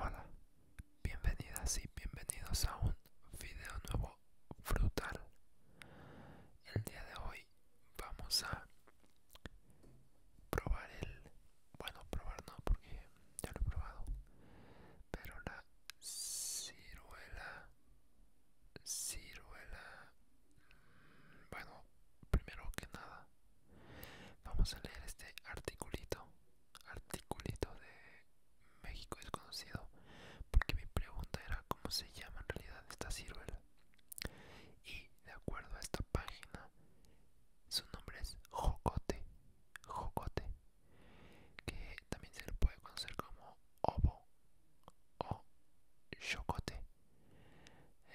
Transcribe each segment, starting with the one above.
Hola, bienvenidas y bienvenidos a un video nuevo frutal. El día de hoy vamos a probar el bueno probar no porque ya lo he probado pero la ciruela ciruela mm, bueno primero que nada vamos a leer este articulito articulito de México desconocido porque mi pregunta era cómo se llama en realidad esta ciruela y de acuerdo a esta página, su nombre es Jocote, Jocote, que también se le puede conocer como obo o Chocote.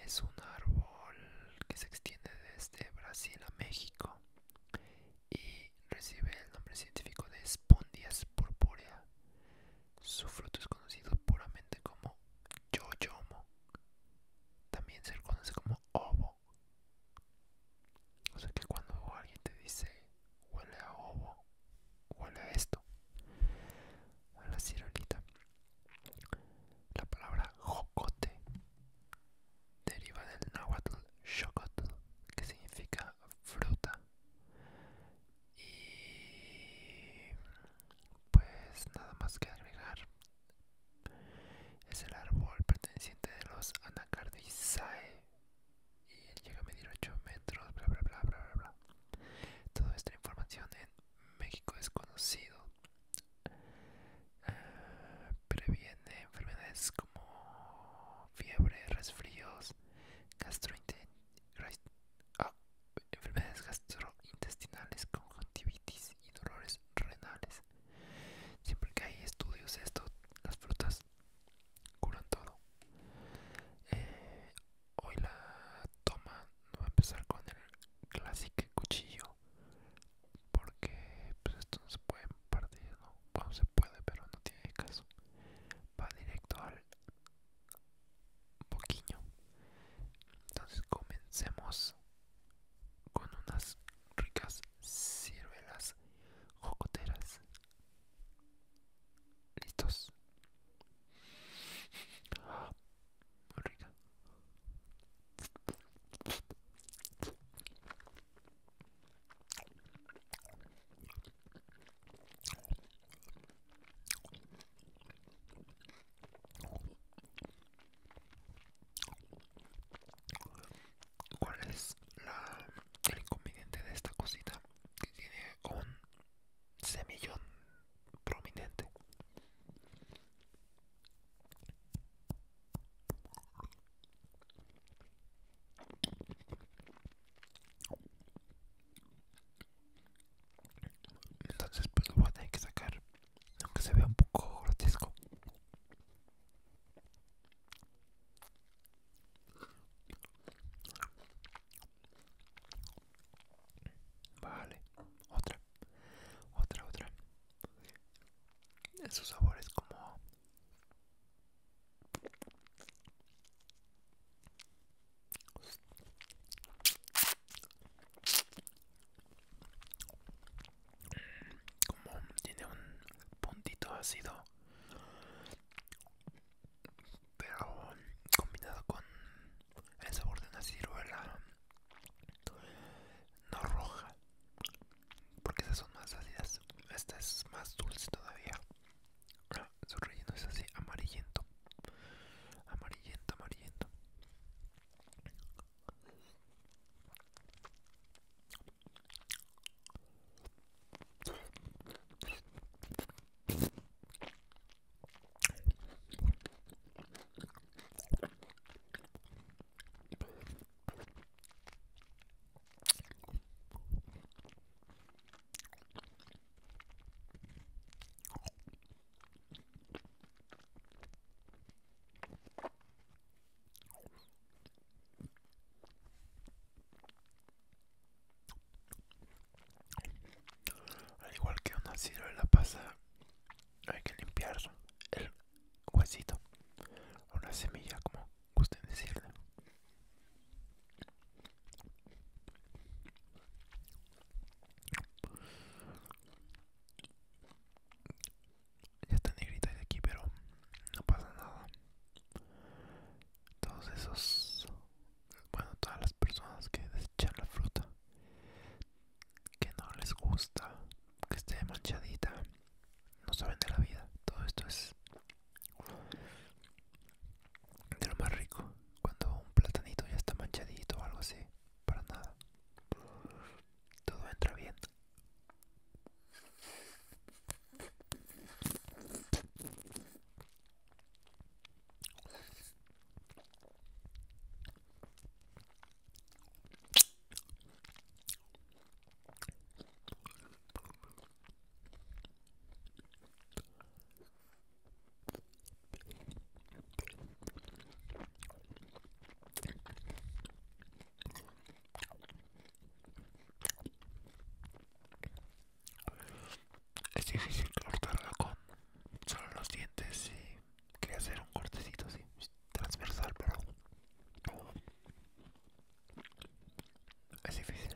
Es un árbol que se extiende desde Brasil a México y recibe el nombre científico de Spondias purpurea. Su fruto es conocido puramente como yoyomo, También se conoce como obo. O sea que cuando alguien te dice huele a obo, huele a esto, a la La palabra jocote deriva del náhuatl xocotl, que significa fruta. Y pues nada más que agregar es el árbol perteneciente de los anacardizae y él llega a medir 8 metros bla bla bla bla bla toda esta información en México es conocido ah, previene enfermedades como fiebre resfríos gastrointestinales Ah, enfermedades gastrointestinales, conjuntivitis y dolores renales. Siempre que hay estudios de esto, las frutas curan todo. Eh, hoy la toma no va a empezar con el clásico cuchillo, porque pues esto no se puede partir, no se puede, pero no tiene caso. Va directo al poquillo entonces comencemos con unas ricas ciruelas jocoteras listos ¿Cuál es la, el inconveniente de esta cosita? Que tiene un semillón prominente entonces pues lo voy a tener que sacar aunque se vea un poco grotesco vale otra otra otra Esos sabores como como tiene un puntito ácido pero combinado con el sabor de una ciruela no roja porque esas son más ácidas esta es más dulce todavía ah, su relleno es así amarillento amarillento, amarillento. Al igual que una la pasa, hay que limpiar el huesito, la semilla como guste decirle. Ya está negrita de aquí, pero no pasa nada. Todos esos, bueno, todas las personas que desechan la fruta, que no les gusta, que esté manchadita, no saben de la vida. Todo esto es de lo más rico cuando un platanito ya está manchadito o algo así para nada todo entra bien es difícil cortarla con solo los dientes y quería hacer un cortecito así, transversal, pero es difícil.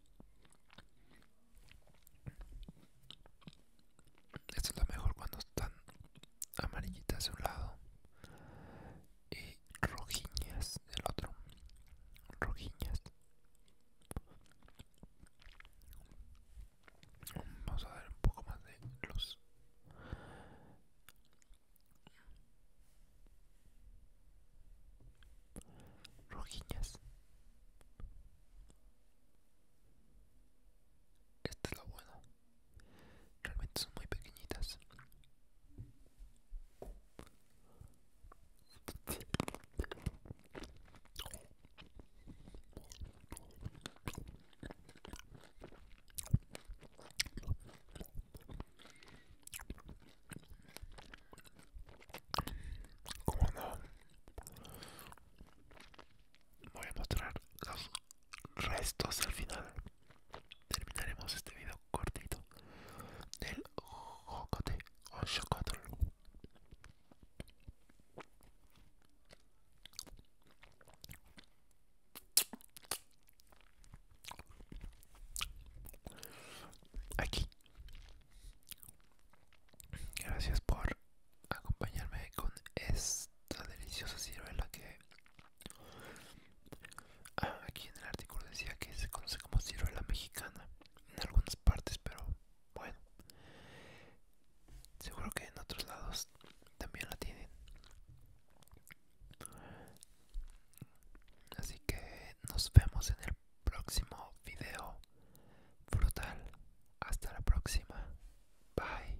Esto es lo mejor cuando están amarillitas de un lado y rojiñas del otro. Rojiñas. Vamos a dar un poco más de luz rojiñas. Esta es la buena. Realmente son muy pequeñitas. Como no? Voy a mostrar los restos al final. Terminaremos este video cortito del jocote o chocotl. Aquí Gracias por acompañarme con esta deliciosa ciruela que ah, aquí en el artículo decía que se conoce como ciruela mexicana en algunas partes, pero bueno, seguro que en otros lados también la tienen. Así que nos vemos en el próximo video frutal. Hasta la próxima. Bye.